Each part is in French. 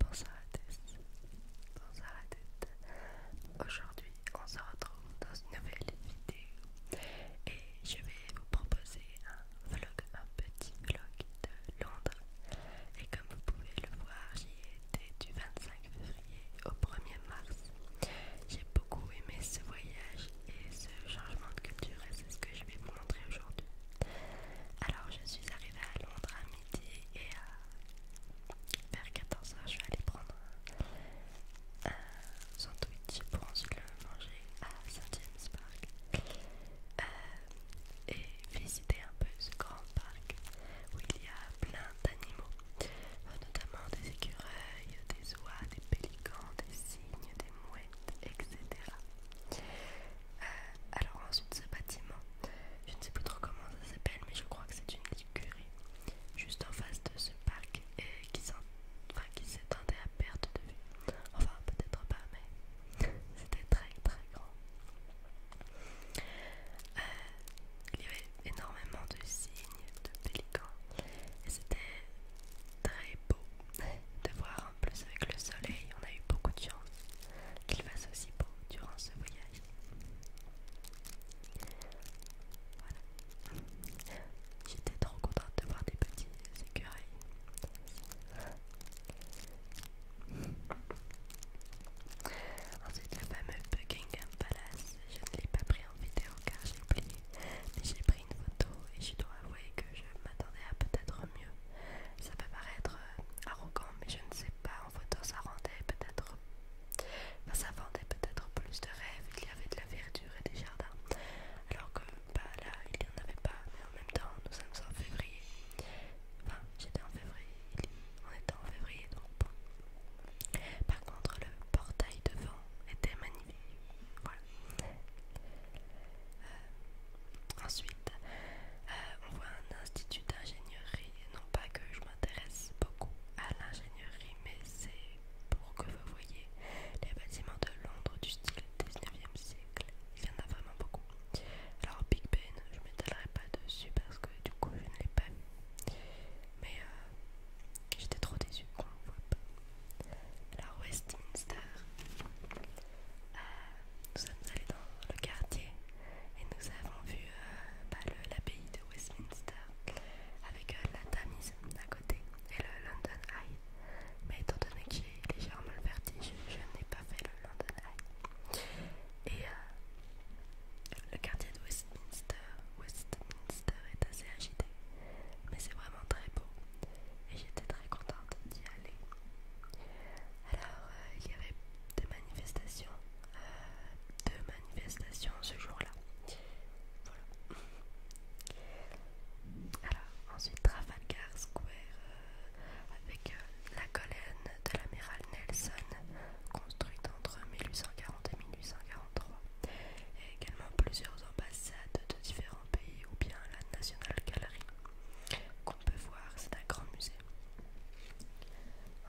Bonjour à tous, bonjour à toutes. Aujourd'hui, on se retrouve dans une nouvelle vidéo et je vais vous proposer un vlog, un petit vlog de Londres. Et comme vous pouvez le voir, j'y étais du 25 février au 1er mars. J'ai beaucoup aimé ce voyage et ce changement de culture et c'est ce que je vais vous montrer aujourd'hui. Alors je suis arrivée à Londres à midi et vers 14h je suis allée prendre un, sandwich pour ensuite le manger à St James Park euh, et visiter un peu ce grand parc où il y a plein d'animaux, notamment des écureuils, des oies, des pélicans, des cygnes, des mouettes, etc. Euh, alors ensuite ce bâtiment, je ne sais plus trop comment ça s'appelle, mais je crois que c'est une librairie, juste en face de ce parc et qui s'étendait à perte de vue. Enfin peut-être pas, mais c'était très très grand. Euh, il y avait énormément de signes, de pélicans et c'était très beau de voir en plus avec le soleil, on a eu beaucoup de chance qu'il fasse aussi beau durant ce voyage. Voilà. J'étais trop contente de voir des petits écureuils. Ensuite, le fameux Buckingham Palace. Je ne l'ai pas pris en vidéo car j'ai oublié, mais j'ai pris une photo et je dois avouer que je je m'attendais à peut-être mieux. Ça peut paraître euh, arrogant, mais je ne sais pas. En photo, ça rendait peut-être. ça vendait peut-être plus de rêves. Il y avait de la verdure et des jardins. Alors que bah, là, il n'y en avait pas. Mais en même temps, nous sommes en février. Enfin, j'étais en février. On était en février, donc Par contre, le portail devant était magnifique. Voilà. Euh, ensuite, euh, on voit un institut d'ingénierie. Non pas que je m'intéresse beaucoup à l'ingénierie, mais c'est pour que vous voyez les bâtiments de Londres du style 19e siècle. Il y en a vraiment beaucoup. Alors Big Ben, je m'étalerai pas dessus parce que du coup je ne l'ai pas mais euh, j'étais trop déçue qu'on voit pas. Alors Westminster, euh, nous sommes allés dans le quartier et nous avons vu euh, bah, l'abbaye de Westminster avec la Tamise à côté et le London Eye. Mais étant donné que j'ai légèrement le vertige, je n'ai pas fait le London Eye. Et le quartier de Westminster, est assez agité, mais c'est vraiment très beau et j'étais très contente d'y aller. Alors, euh, il y avait des manifestations, euh, deux manifestations ce jour-là. Voilà. Alors, ensuite Trafalgar Square euh, avec la colonne de l'amiral Nelson construite entre 1840 1843. également plusieurs ambassades de différents pays ou bien la National Gallery qu'on peut voir, c'est un grand musée.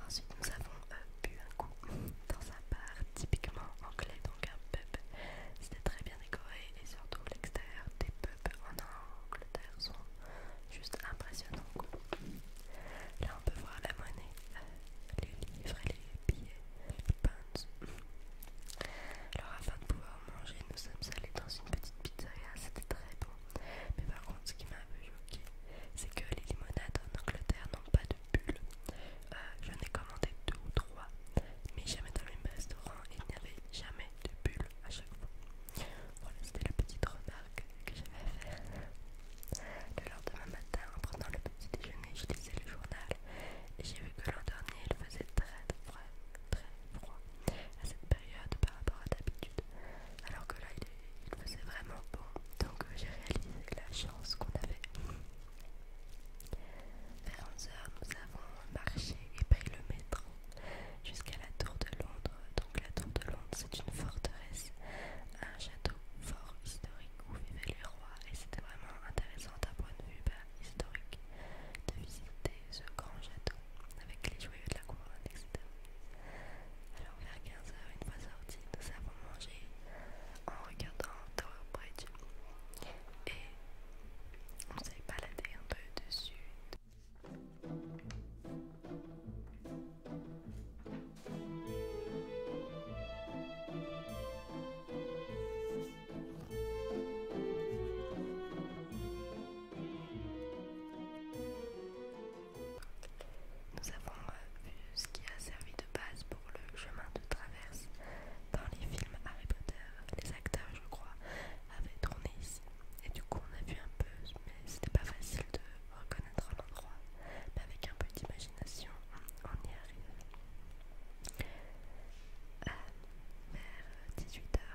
Ensuite nous avons euh, bu un coup dans un bar typiquement anglais, donc un pub. C'était très bien décoré et surtout l'extérieur des pubs en Angleterre sont juste impressionnants. Là, on peut voir la monnaie, euh, les livres et les billets, les Alors, afin de pouvoir manger, nous sommes allés dans une petite pizzeria, c'était très bon. Mais par contre, ce qui m'a un peu choqué, c'est que les limonades en Angleterre n'ont pas de bulles. Euh, j'en ai commandé deux ou trois, mais jamais dans le même restaurant, il n'y avait jamais de bulles à chaque fois. Voilà, c'était la petite remarque que, j'avais à faire. Le lendemain matin, en prenant le petit déjeuner, j'ai lisais le journal et j'ai vu que l'an dernier il faisait très froid, très froid à cette période par rapport à d'habitude. Alors que là il, il faisait vraiment bon, donc euh, j'ai réalisé la chance qu'on avait. Vers 11h, nous avons marché et pris le métro jusqu'à la tour de Londres donc la tour de Londres c'est une forteresse, un château fort historique où vivaient les rois et c'était vraiment intéressant d'un point de vue bah, historique de visiter ce grand château avec les joyaux de la couronne etc. Alors vers 15h une fois sorti nous avons mangé en regardant Tower Bridge et on s'est baladé un peu dessus. Nous avons euh, vu ce qui a servi de base pour le chemin de traverse dans les films Harry Potter. Les acteurs, je crois, avaient tourné ici. Et du coup, on a vu un peu, mais c'était pas facile de reconnaître l'endroit. Mais avec un peu d'imagination, on y arrive. Euh, vers 18h,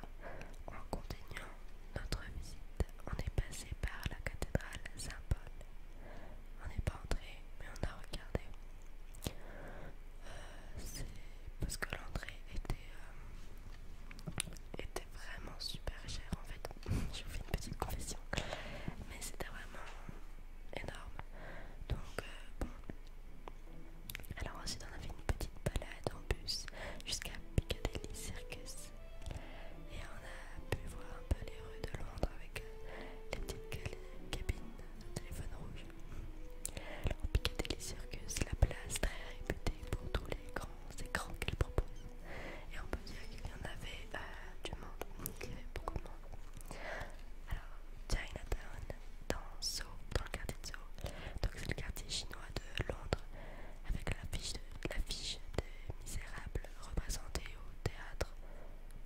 en continuant notre visite, on est passé par la cathédrale Saint-Paul. On n'est pas entré, mais on a regardé. Euh, c'est parce que l'entrée était euh, était, vraiment super cher en fait. Je vous fais une petite confession, mais c'était vraiment énorme. Donc, euh, bon. Alors, ensuite, on a fait une petite balade en bus jusqu'à Piccadilly Circus et on a pu voir un peu les rues de Londres avec euh, les petites cabines de téléphone rouge. Alors, Piccadilly Circus, la place très réputée pour tous les grands c'est grand qu'il propose. Et on peut dire qu'il y en avait euh, du monde, il y avait beaucoup de monde. Alors, Chinatown, dans dans le quartier de Seoul, donc c'est le quartier chinois de Londres, avec l'affiche de, des Misérables représentée au théâtre,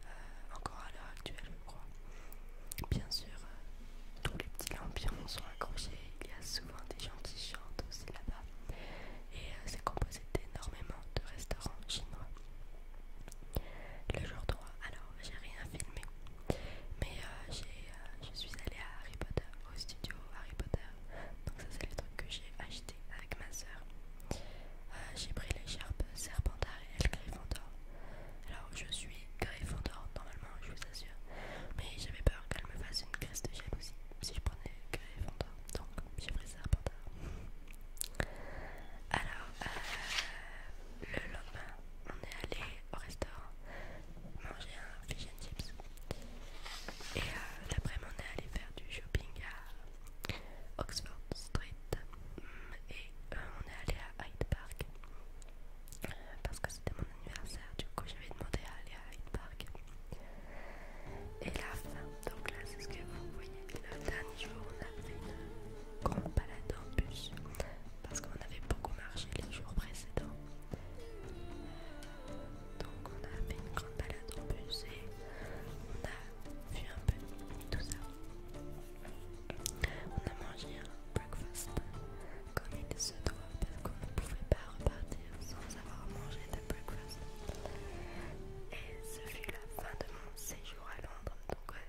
euh, encore à l'heure actuelle, je crois. Bien sûr, euh, tous les petits lampions sont accrochés, il y a des gens qui chantent aussi là-bas. Et euh, c'est composé d'énormément de restaurants chinois. Le jour 3, alors j'ai rien filmé, mais euh, j'ai euh, je suis allée à Harry Potter, au studio Harry Potter. Donc, ça, c'est le truc que j'ai acheté avec ma soeur. j'ai pris l'écharpe Serpentard et le Gryffondor. Alors, je suis Curry normalement, je vous assure. Mais j'avais peur qu'elle me fasse une crise de aussi si je prenais Fondor Donc, j'ai pris ça par terre. Alors, euh, le lendemain, on est allé au restaurant manger un fish chips. Et l'après-midi, euh, on est allé faire du shopping à Oxford Street. Mm, et euh, on est allé à Hyde Park parce que c'était mon anniversaire, du coup j'avais demandé à aller à Hyde Park Et la fin, donc là c'est ce que vous voyez, le dernier jour on a fait une grande balade en bus parce qu'on avait beaucoup marché les jours précédents. Donc on a fait une grande balade en bus et on a vu un peu tout ça. On a mangé un breakfast comme il se doit parce qu'on ne pouvait pas repartir sans avoir mangé de breakfast. Et ce fut la fin de mon séjour à Londres, donc euh,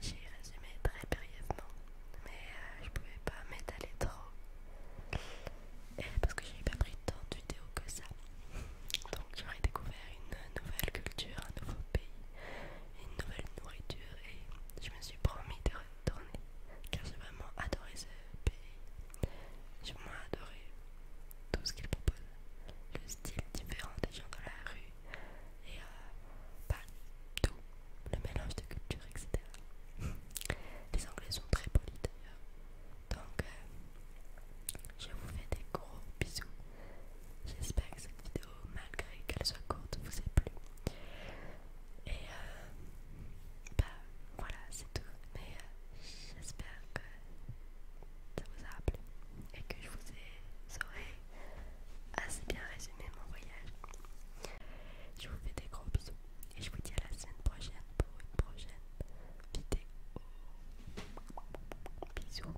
j'ai résumé très brièvement, mais je euh, je pouvais pas m'étaler trop parce que j'ai pas pris tant de vidéos que ça. Donc j'aurais découvert une nouvelle culture, un nouveau pays, une nouvelle nourriture et je me suis promis de retourner car j'ai vraiment adoré ce pays. J'ai vraiment adoré tout ce qu'il propose, le style différent des gens dans la rue et euh, tout, le mélange de cultures, etc. Les Anglais sont très polis d'ailleurs, donc euh, je vous fais des gros bisous. J'espère que cette vidéo malgré qu'elle soit courte vous ait plu et euh, bah voilà c'est tout mais euh, j'espère que ça vous a plu et que je vous ai assez bien résumé mon voyage je vous fais des gros bisous et je vous dis à la semaine prochaine pour une prochaine vidéo bisous